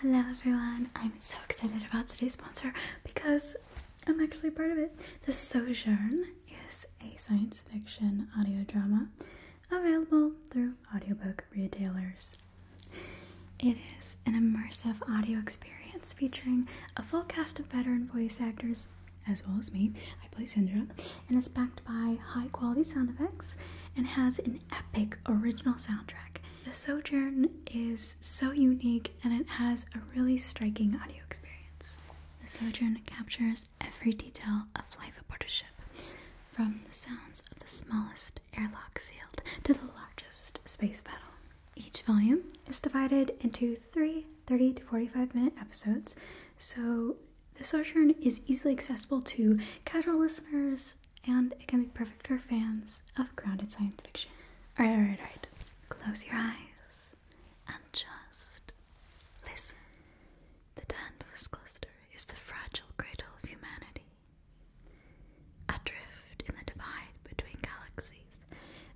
Hello everyone, I'm so excited about today's sponsor because I'm actually part of it. The Sojourn is a science fiction audio drama available through audiobook retailers. It is an immersive audio experience featuring a full cast of veteran voice actors, as well as me. I play Sandra, and is backed by high quality sound effects and has an epic original soundtrack the Sojourn is so unique and it has a really striking audio experience. The Sojourn captures every detail of life aboard a ship, from the sounds of the smallest airlock sealed to the largest space battle. Each volume is divided into three 30 to 45 minute episodes, so the Sojourn is easily accessible to casual listeners, and it can be perfect for fans of grounded science fiction. Alright, alright, alright. Close your eyes and just listen. The Tantalus Cluster is the fragile cradle of humanity. Adrift in the divide between galaxies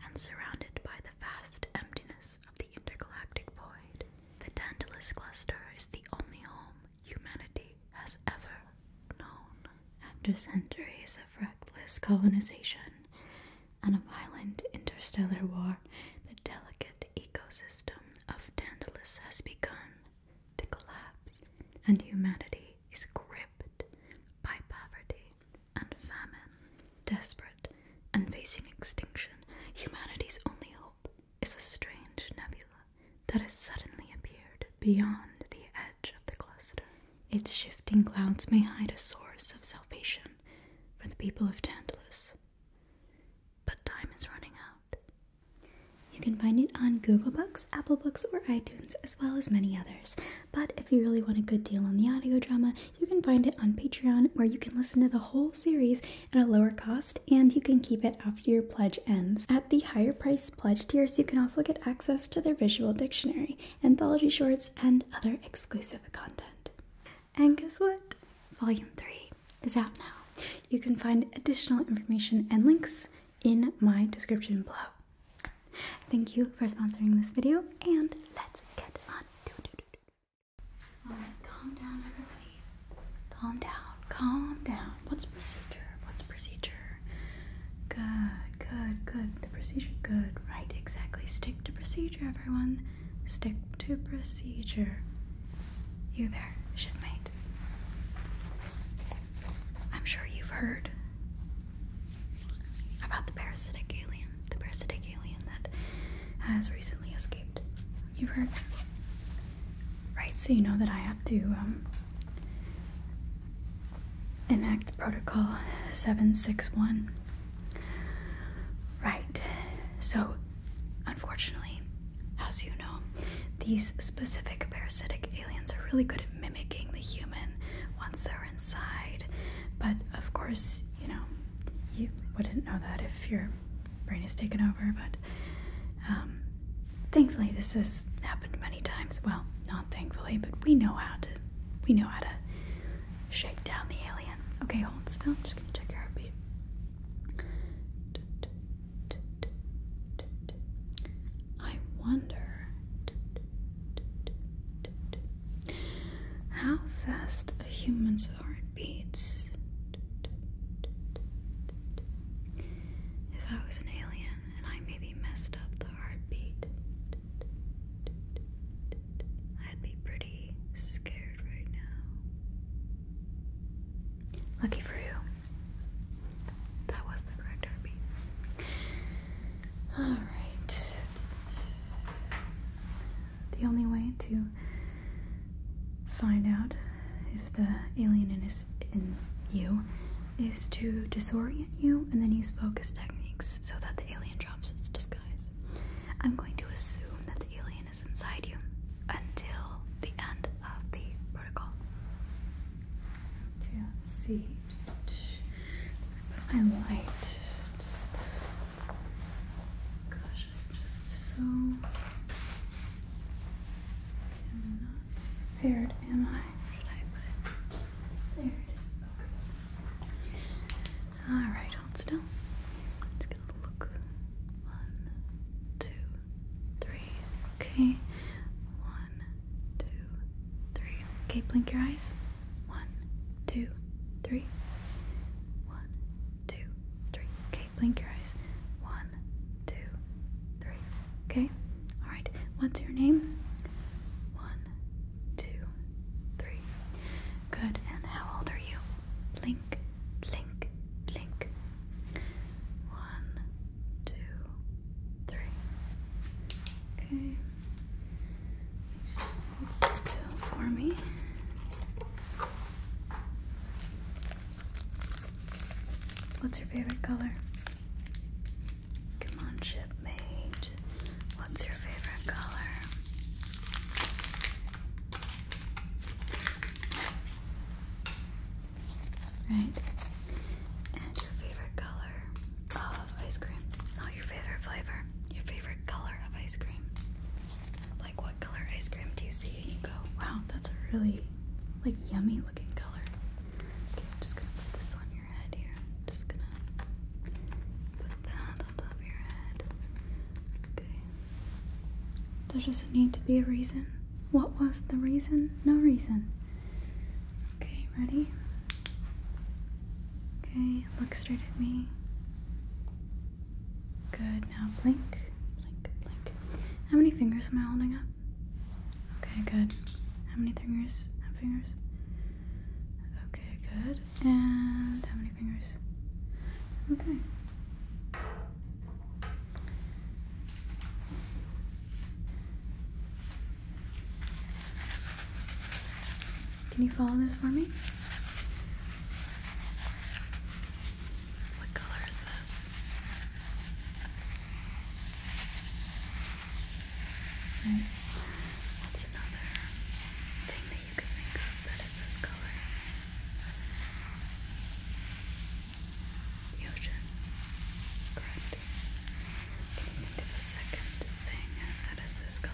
and surrounded by the vast emptiness of the intergalactic void, the Tantalus Cluster is the only home humanity has ever known. After centuries of reckless colonization and a violent interstellar war, the delicate ecosystem of Tantalus has begun to collapse, and humanity is gripped by poverty and famine. Desperate and facing extinction, humanity's only hope is a strange nebula that has suddenly appeared beyond the edge of the cluster. Its shifting clouds may hide a source of salvation for the people of Tandalus. But time is running out. You can find it on Google Books, Apple Books, or iTunes, as well as many others. But if you really want a good deal on the audio drama, you can find it on Patreon, where you can listen to the whole series at a lower cost and you can keep it after your pledge ends. At the higher price, as pledge tiers, you can also get access to their visual dictionary, anthology shorts, and other exclusive content. And guess what? Volume 3 is out now. You can find additional information and links in my description below. Thank you for sponsoring this video, and let's get on. Alright, calm down, everybody. Calm down calm down. What's procedure? What's procedure? Good, good, good. The procedure, good, right, exactly. Stick to procedure, everyone. Stick to procedure. You there, shipmate. I'm sure you've heard about the parasitic alien, the parasitic alien that has recently escaped. You've heard? right? So you know that I have to um, enact protocol 761. Right, so unfortunately, as you know, these specific parasitic aliens are really good at mimicking the human once they're inside. But of course, you know, you wouldn't know that if your brain is taken over, but um, thankfully, this has happened many times. Well, not thankfully, but we know how to we know how to shake down the alien. Okay, hold still. I'm just gonna check your heartbeat. I wonder how fast a human's heart beats. If I was an alien, and I maybe messed up the heartbeat, I'd be pretty scared right now. Lucky for you, that was the correct heartbeat. Alright. The only way to find out if the alien in is in you is to disorient you and then use focus techniques so that the alien drops its disguise. I'm going to assume that the alien is inside you until the end of the protocol. Can't see. Put light just. Gosh, just so. not prepared, am I? Okay. Alright, hold still. i gonna look. One, two, three. Okay. One, two, three. Okay, blink your eyes. One, two, three. One, two, three. Okay, blink your eyes. One, one, two, three. Okay? Alright. What's your name? One, two, three. Good. And how old are you? Link, link, link. One, two, three. Okay. It's still for me. What's your favorite color? Come on, shipmate. What's your favorite color? Right. And your favorite color of ice cream. Not your favorite flavor. Your favorite color of ice cream. Like what color ice cream do you see and you go, wow, that's a really like yummy looking color. Okay, I'm just gonna put this on your head here. just gonna put that on top of your head. Okay. There doesn't need to be a reason. What was the reason? No reason. Okay, ready? Okay, look straight at me. Good, now blink, blink, blink. How many fingers am I holding up? Okay, good. How many fingers? How many fingers? Okay, good. And how many fingers? Okay. Can you follow this for me? What color is this? What's another thing that you could think of that is this color? The ocean. Correct. Can you think of a second thing that is this color?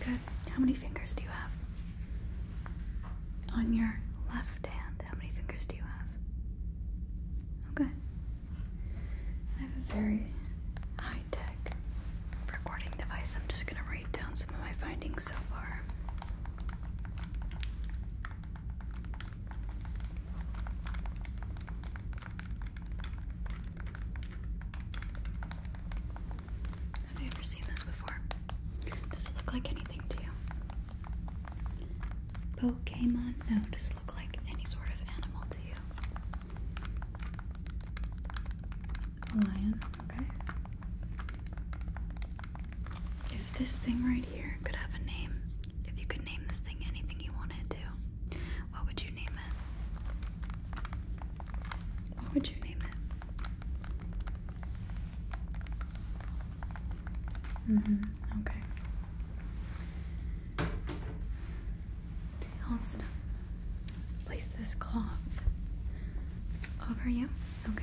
Good. How many fingers do you have? On your left hand, how many fingers do you have? Okay. I have a very high tech recording device. I'm just going to write down some of my findings so far. Have you ever seen this before? Does it look like anything to you? Pokemon? No, does it look like any sort of animal to you? A lion, okay. If this thing right here could have a name, if you could name this thing anything you wanted to, what would you name it? What would you name it? Mm-hmm. Okay. Place this cloth over you. Okay.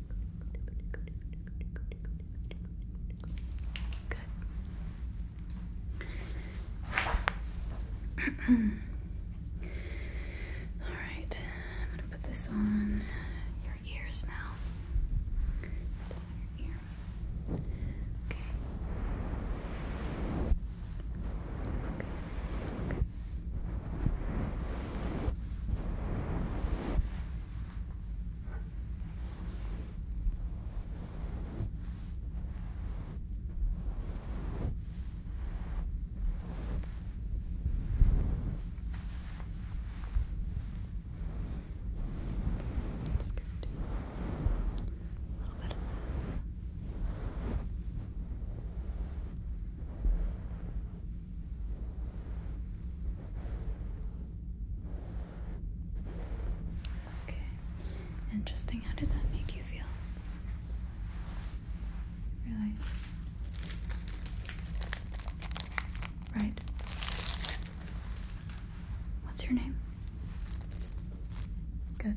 Good. All right, I'm going to put this on your ears now. Your ear. Okay. Just gonna do a little bit of this. Okay. Interesting. How did that make you feel? Really? Right. What's your name? Good.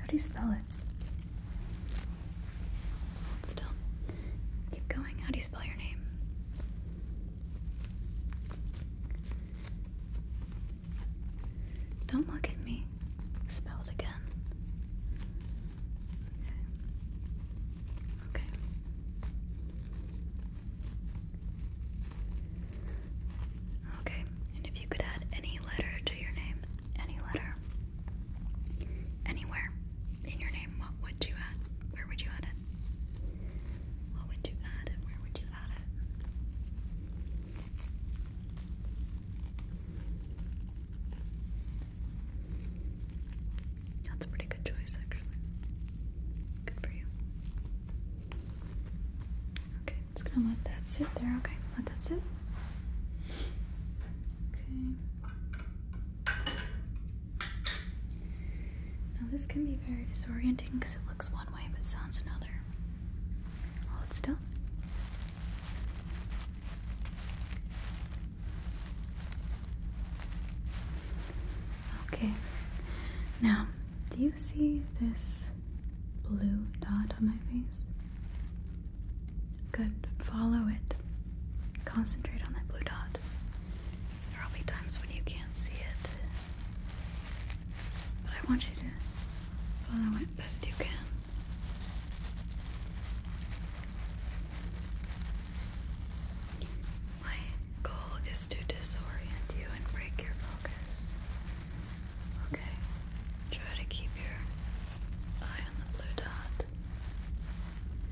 How do you spell it? still. Keep going. How do you spell your name? Don't look at me. Spell it again. Okay. okay. Okay, and if you could add any letter to your name, any letter. Anywhere in your name, what would you add? Where would you add it? What would you add Where would you add it? That's a pretty good choice, actually. Good for you. Okay, I'm just gonna let that sit there. Okay, let that Okay. Now, this can be very disorienting because it looks one way but sounds another. Hold still. Okay, now, do you see this blue dot on my face? Good, follow it. Concentrate on that blue dot. There will be times when you can't see it. But I want you to follow it best you can. My goal is to disorient you and break your focus. Okay? Try to keep your eye on the blue dot.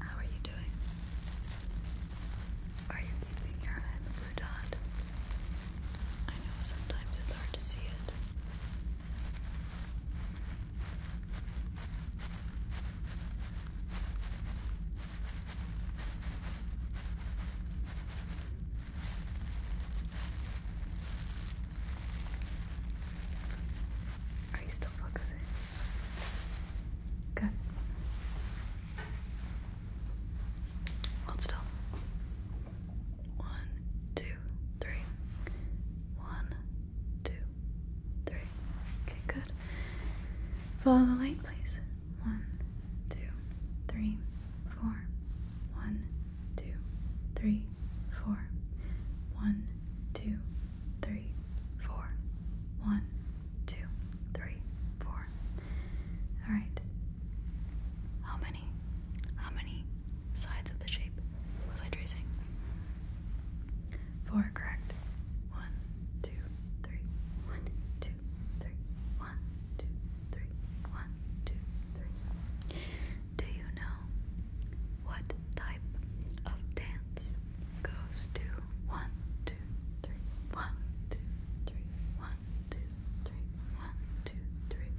How are you doing? Are you keeping your eye blue dot? I know sometimes it's hard to see it. Are you still focusing? Good. Hold still. One, two, three. One, two, three. Okay, good. Follow the light, please. One, two, three, four. One, two, three, four. One, two, three, four. One, two, three, four. All right. How many? How many sides of the shape was I tracing? Four, correct. One, two, three, one, two, three, one, two, three, one, two, three. Do you know what type of dance goes to one, two, three, one, two, three, one, two, three, one, two, three?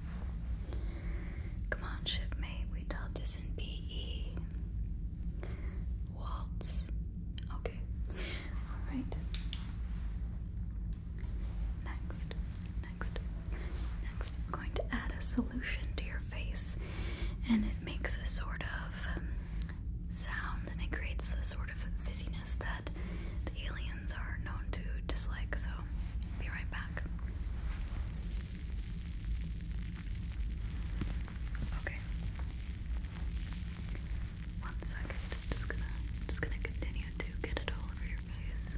Come on, shipmate, we taught this in BE. Waltz. Okay. Alright. Next, next, Next, I'm going to add a solution to your face, and it makes a sort of um, sound and it creates a sort of fizziness that the aliens are known to dislike. So, be right back. Okay. One second. Just gonna, just gonna continue to get it all over your face.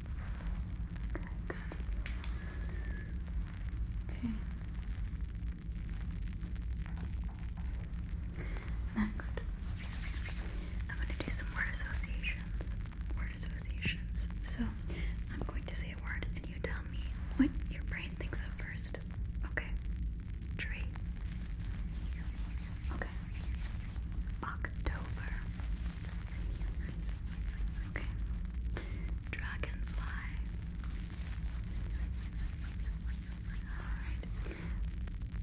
Good, good. Okay. Next, I'm going to do some word associations. Word associations. So, I'm going to say a word and you tell me what your brain thinks of first. Okay? Tree. Okay. October. Okay. Dragonfly. Alright.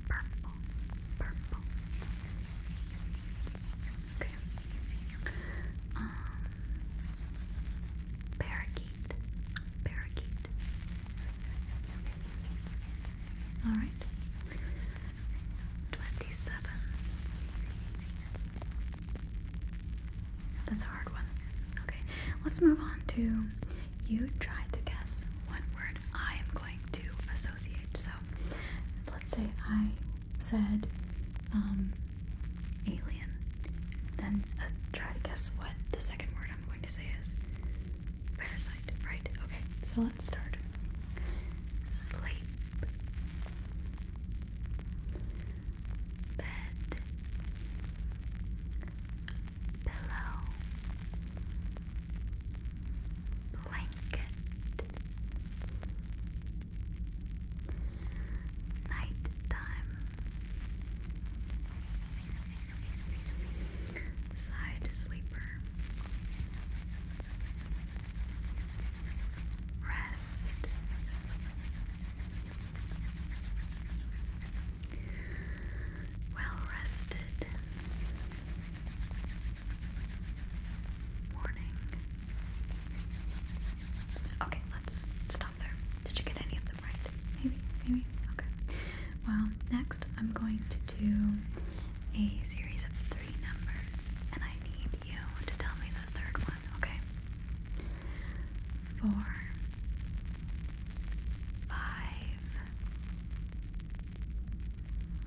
Purple. Purple. Okay. Um Parakeet. Parakeet. Alright. 27. That's a hard one. Okay, let's move on to you try to guess what word I am going to associate. So let's say I said um, alien, then uh, try to guess what the second word I'm going to say is parasite, right? Okay, so start. Sleep. Bed. Pillow. Blanket. Night Side sleeper. Rest. Well rested. Morning. Okay, let's stop there. Did you get any of them right? Maybe, maybe. Okay. Well, next I'm going to do a series of three three numbers, and I need you to tell me the third one, okay? Four, five,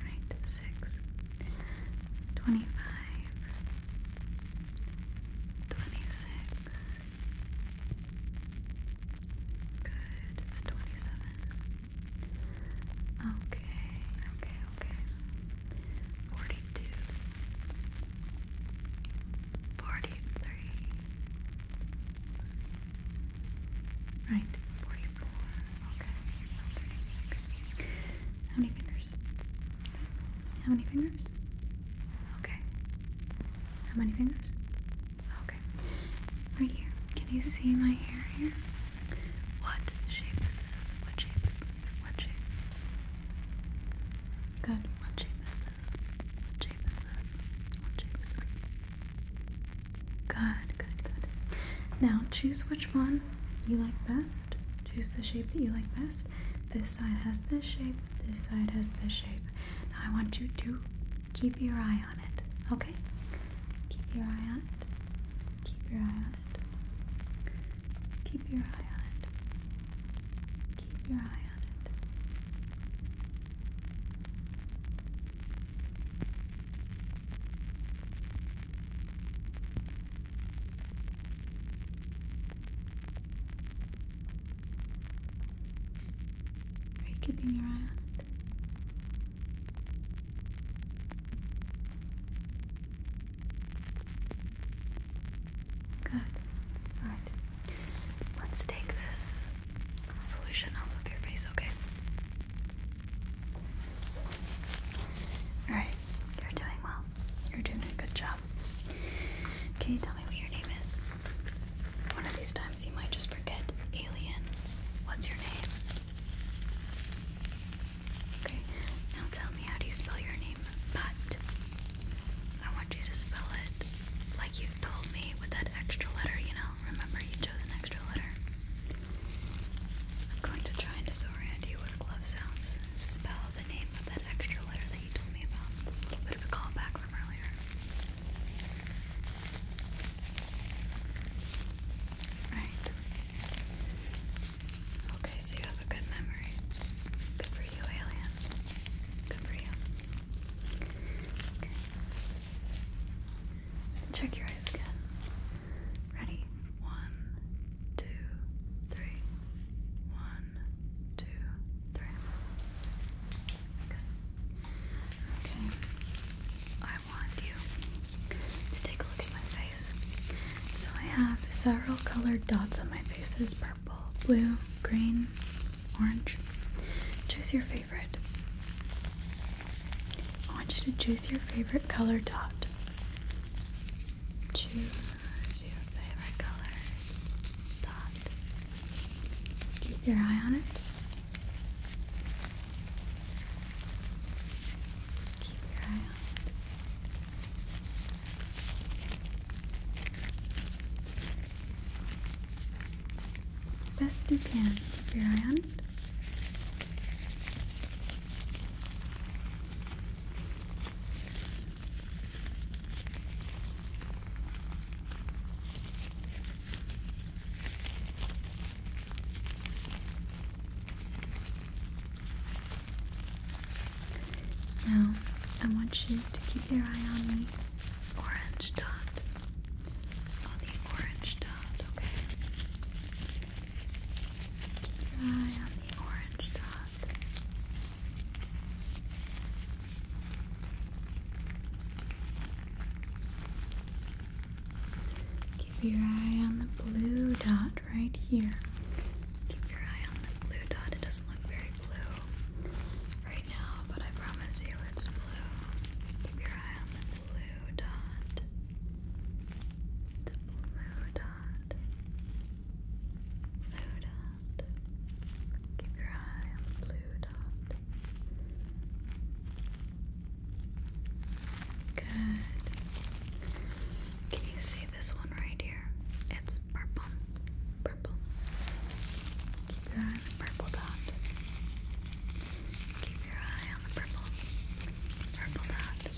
right, six, twenty-five, twenty-six. Good, twenty-seven. Okay, okay, okay. 42 right 44 okay how many fingers how many fingers okay how many fingers okay right here can you see my hair here what shape is this? What shape What shape? Good. What shape is this? shape is this? What shape Good, good, good. Now choose which one you like best. Choose the shape that you like best. This side has this shape, this side has this shape. Now I want you to keep your eye on it, okay? Keep your eye on it. Keep your eye on Keep your eye on it. Keep your eye on it. Are you keeping your eye on it? Good. Alright. Let's take this solution off of your face, okay? Alright, you're doing well. You're doing a good job. Can you tell me what your name is? One of these times you might just forget alien. What's your name? Okay, now tell me how do you spell your name? But I want you to spell it like you told me with that extra letter, you know? Remember, you chose an extra letter. I'm going to try and disorient you with glove sounds. Spell the name of that extra letter that you told me about. It's a little bit of a callback from earlier. Alright. Okay, so you have a good memory. Good for you, alien. Good for you. Okay. Check your eyes again. Ready? One, two, three. One, two, three. Good. Okay. I want you to take a look at my face. So I have several colored dots on my face. There's purple, blue, green, orange. Choose your favorite. I want you to choose your favorite color dot. Choose your favorite color dot. Keep your eye on it. Keep your eye on it. Best you can, keep your eye on it. Now, I want you to keep your eye on the orange dot. On the orange dot, okay? Keep your eye on the orange dot. Keep your eye on the blue dot right here. Keep your eye on the blue dot. It doesn't look very blue right now, but I promise you it's blue. Keep your eye on the blue dot. The blue dot. Blue dot. Keep your eye on the blue dot. Good. Can you see this one right here. It's purple. Purple. Keep your eye on the purple dot. Keep your eye on the purple. Purple dot.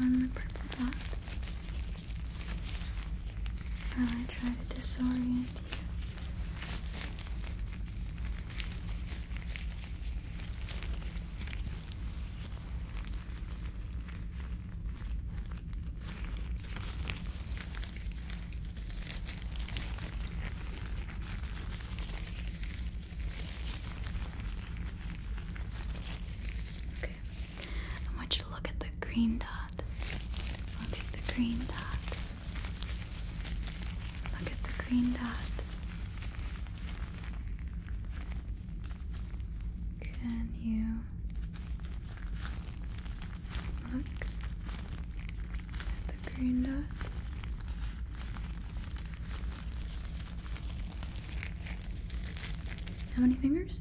on the purple dot. While I try to disorient you. I want you to look at the green dot. I'll the green dot. Look at the green dot. Can you look at the green dot? How many fingers?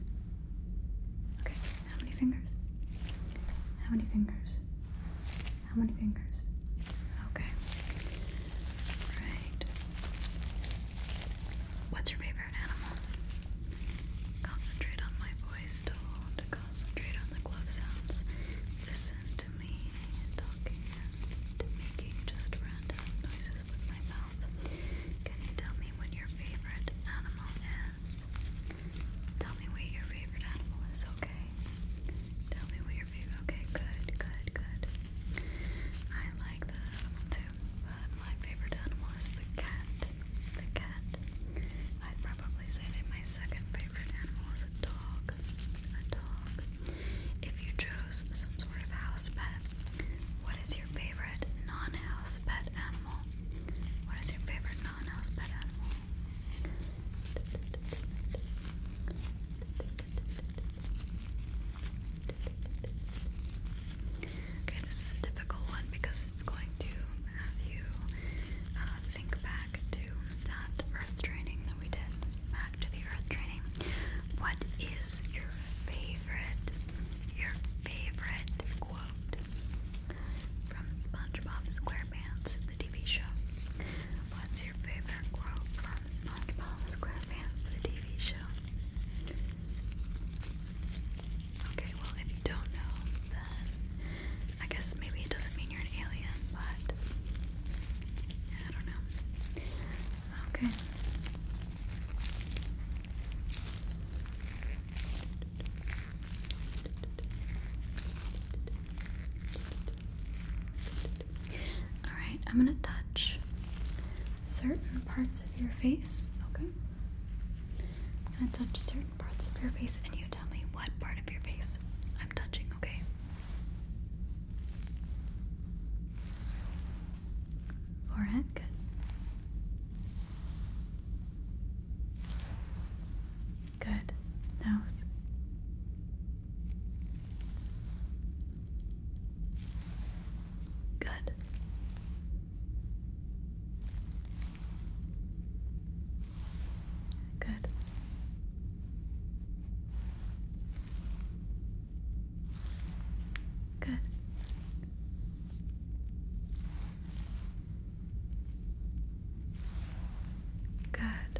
Okay, how many fingers? How many fingers? How many fingers? Okay. Right. What's your favorite animal? Concentrate on my voice. do concentrate on the glove sounds. Listen to me talking making just random noises with my mouth. Can you tell me what your favorite animal is? Tell me what your favorite animal is, okay? Tell me what your favorite. Okay, good, good, good. I like the animal too, but my favorite animal is the cat. The cat. I'd probably say that my second favorite animal is a dog. A dog. If you chose some sort of house pet, what is your favorite non-house pet animal? What is your favorite non-house pet animal? Okay, this is a difficult one because it's going to have you uh, think back to that earth training that we did. Back the earth training. What is your favorite, your favorite quote from SpongeBob SquarePants? the TV show? What's your favorite quote from SpongeBob SquarePants, the TV show? Okay, well, if you don't know, then I guess maybe it doesn't mean you're an alien, but I don't know. Okay. Alright, I'm going to touch certain parts of your face, okay? I'm going to touch certain parts of your face and you tell me what part of your face I'm touching, okay? Forehead, good. Good. Nose. Good. Good. Good. Good.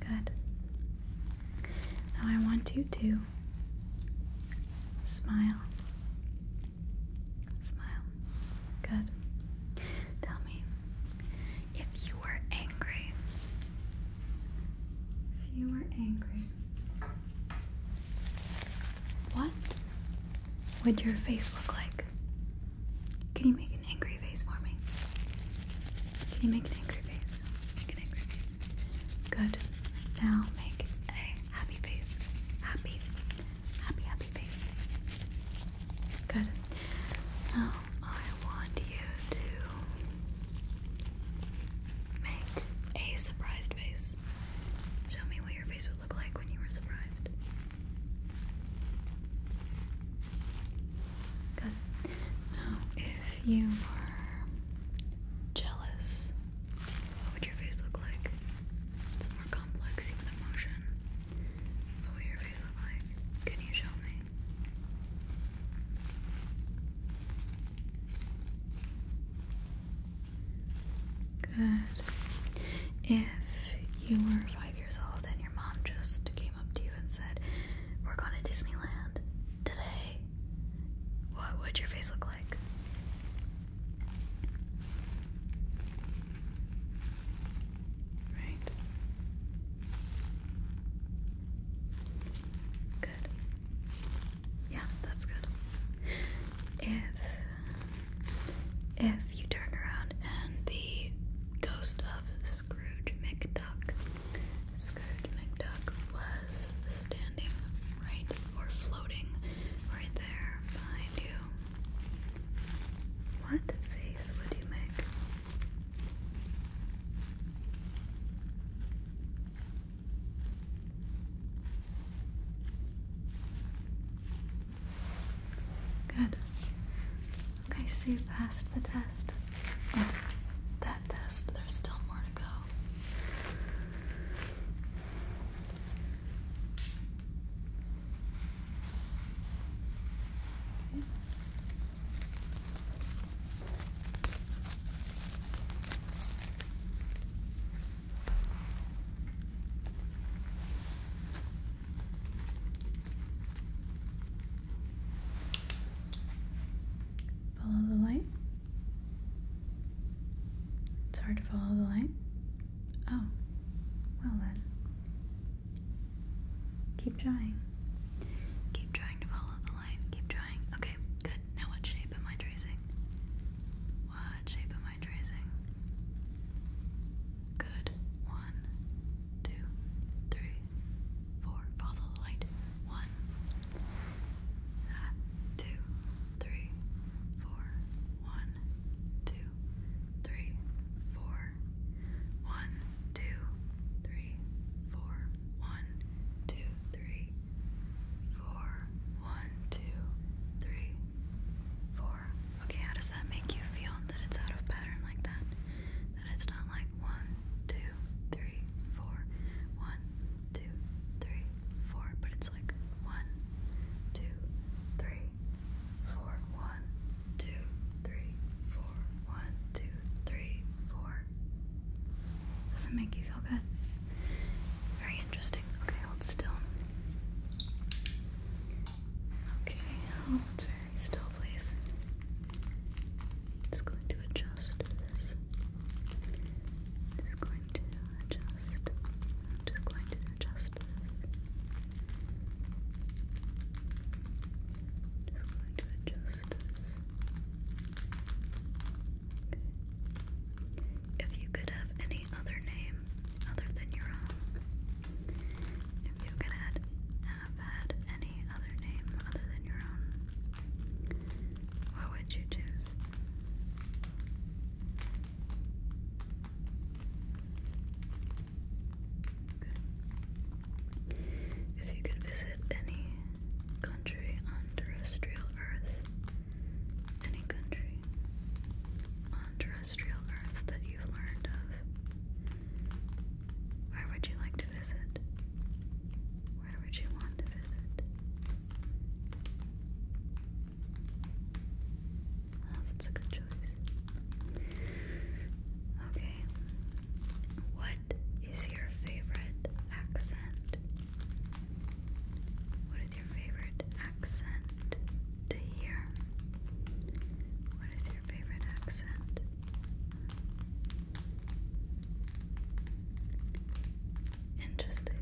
Good. Now I want you to smile. Smile. Good. Tell me if you were angry. If you were angry, what would your face look like? Can you make an angry face for me? Can you make an angry face? an angry face. Good. Now make a happy face. Happy. Happy, happy face. Good. Now I want you to make a surprised face. Show me what your face would look like when you were surprised? Now, if you were jealous, what would your face look like? It's more complex, even emotion. What would your face look like? Can you show me? Good. If you were five years old and your mom just came up to you and said, We're going to Disneyland today, what would your face look like? Right. Good. Yeah, that's good. If if you turn around and the ghost of Scrooge McDuck, Scrooge McDuck was standing right or floating right there behind you. What face would you make? Good. Okay, so you passed the test. Oh, that test, there's still more to go. Follow the light. It's hard to follow the light. Oh, well then. Keep trying. Keep trying to follow the light. Keep trying. Okay, good. Now, what shape am I tracing? What shape am I line tracing. Good. One, two, three, four. Follow the light. One, two, three, four. One, two, three, four. One, two, three, four. One, two, three, four. One, two, three, four. Okay, how does that make you feel that it's out of pattern like that? That it's not like one, two, three, four, one, two, three, four, but it's like one, two, three, four, one, two, three, four, one, two, three, four. Does it make you feel good? Very interesting. Okay, hold still. Okay, very still, please. Just going to adjust this. Just going to adjust. just going to adjust Just going to adjust this. Okay. If you could have any other name other than your own, if you could have, had any other name other than your own, what would you choose? If you could visit any country on terrestrial earth, any country on terrestrial Earth that you've learned of? Where would you like to visit? Where would you want to visit? Oh, that's a good choice. Okay. What is your favorite accent? What is your favorite accent to hear? What is your favorite accent? Interesting.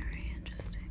Very interesting.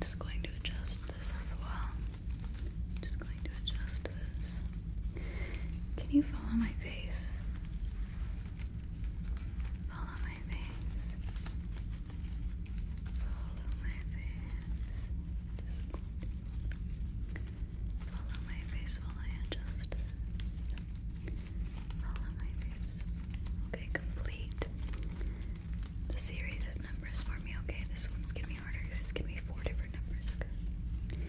Just going to adjust this as well. Just going to adjust this. Can you follow my face? Follow my face. Follow my face. Follow my face while I adjust Follow my face. Okay, complete the series of numbers for me. Okay, this one's gonna harder because it's gonna four different numbers. Okay.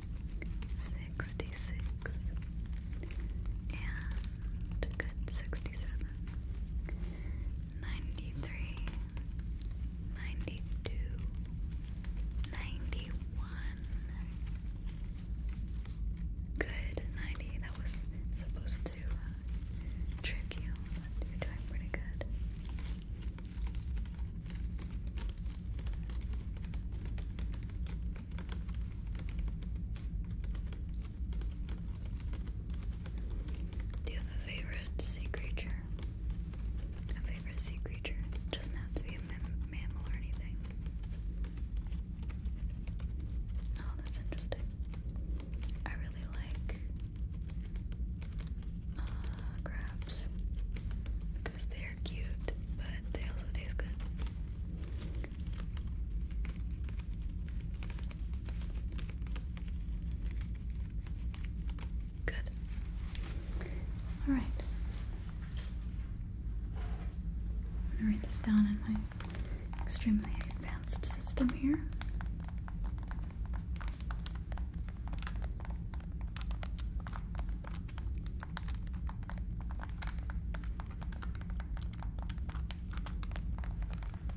66 and good 67 93 92 91 good 90 that was supposed to uh, trick you you're doing pretty good do you have a favorite sea creature? A favorite sea creature doesn't have to be a mammal or anything. Oh, that's interesting. I really like uh, crabs they're cute, but they also taste good. Good. All right. I'm gonna write this down in my extremely advanced system here.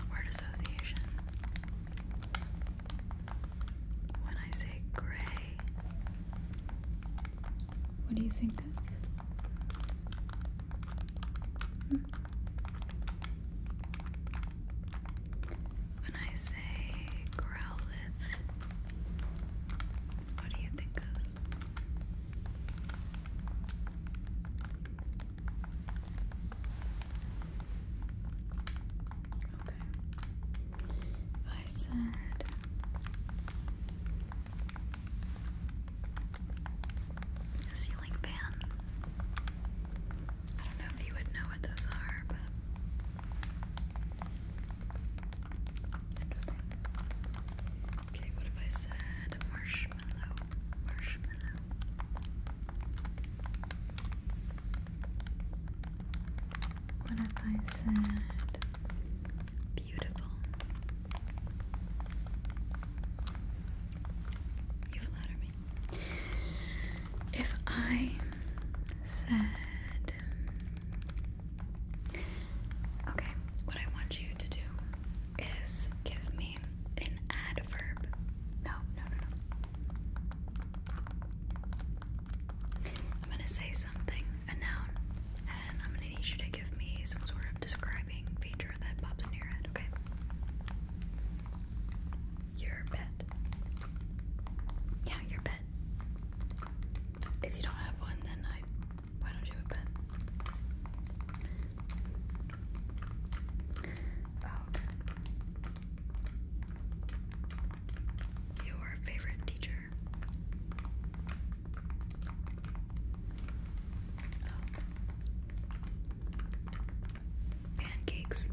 Word association. When I say gray, what do you think of? Hmm when I say growlith, what do you think of? Okay. ceiling fan. I don't know if you would know what those are, but Okay, what if I said marshmallow? Marshmallow. What if I said beautiful? You flatter me. If I Okay, what I want you to do is give me an adverb. No, no, no, no. I'm gonna say something, a noun, and I'm gonna need you to give me some sort of describing feature that pops in your head, okay? Your pet. Yeah, your pet if you don't have one, then I why don't you have a pen? Oh. your favorite teacher. Oh. Pancakes.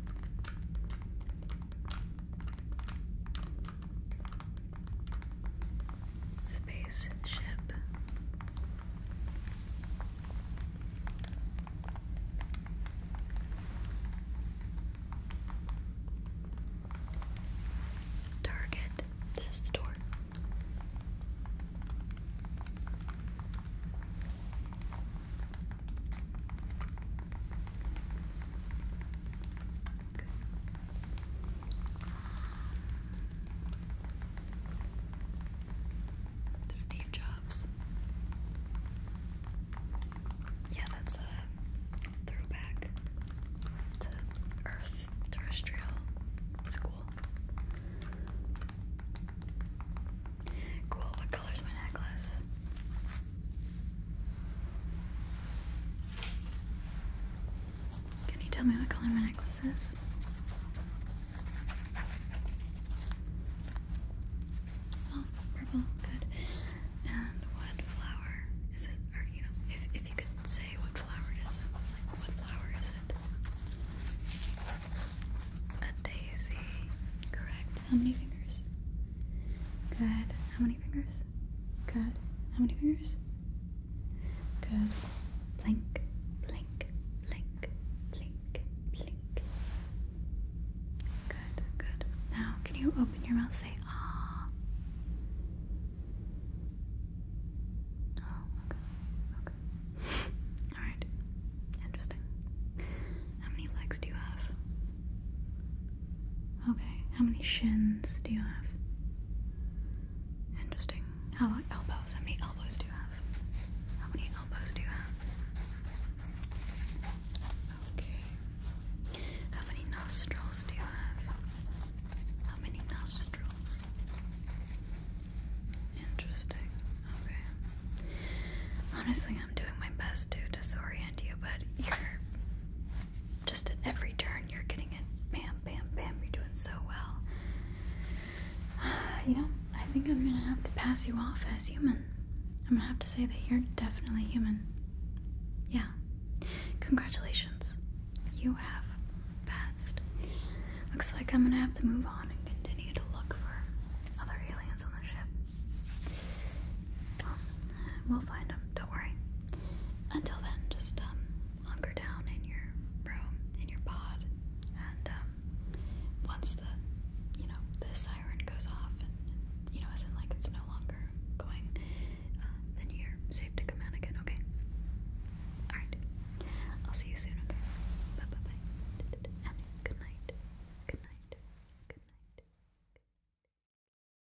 Spaceship. Target this store. Steve Jobs. Yeah, that's a throwback to Earth terrestrial school. Cool, what color's my necklace? Can you tell me what color my necklace is? Oh, purple, good. And what flower is it? Or you know, if if you could say what flower it is, what flower is it? A daisy, correct. How many fingers? Good. How many fingers? Good. How many fingers? Good. Blink, blink, blink, blink, blink. Good, good. Now, can you open your mouth? Say ah. Oh, okay, okay. All right. Interesting. How many legs do you have? Okay, how many shins do you have? Interesting. How elbows? How many elbows do you have? How many elbows do you have? Okay. How many nostrils do you have? How many nostrils? Interesting. Okay. Honestly, I'm doing my best to disorient you, but you're just at every turn you're getting it. Bam, bam, bam. You're doing so well. You know, I think I'm gonna have to pass you off as human. I'm gonna have to say that you're definitely human. Yeah. Congratulations. You have passed. Looks like I'm gonna have to move on and continue to look for other aliens on the ship. Um, We'll find them, don't worry. Until then, just um, hunker down in your room, in your pod, and um, once the, you know, the siren goes off and, you know, as in like it's no longer going, uh, then you're safe to come out again, okay? Alright, I'll see you soon, okay? Bye bye bye. good night. Good night. Good night.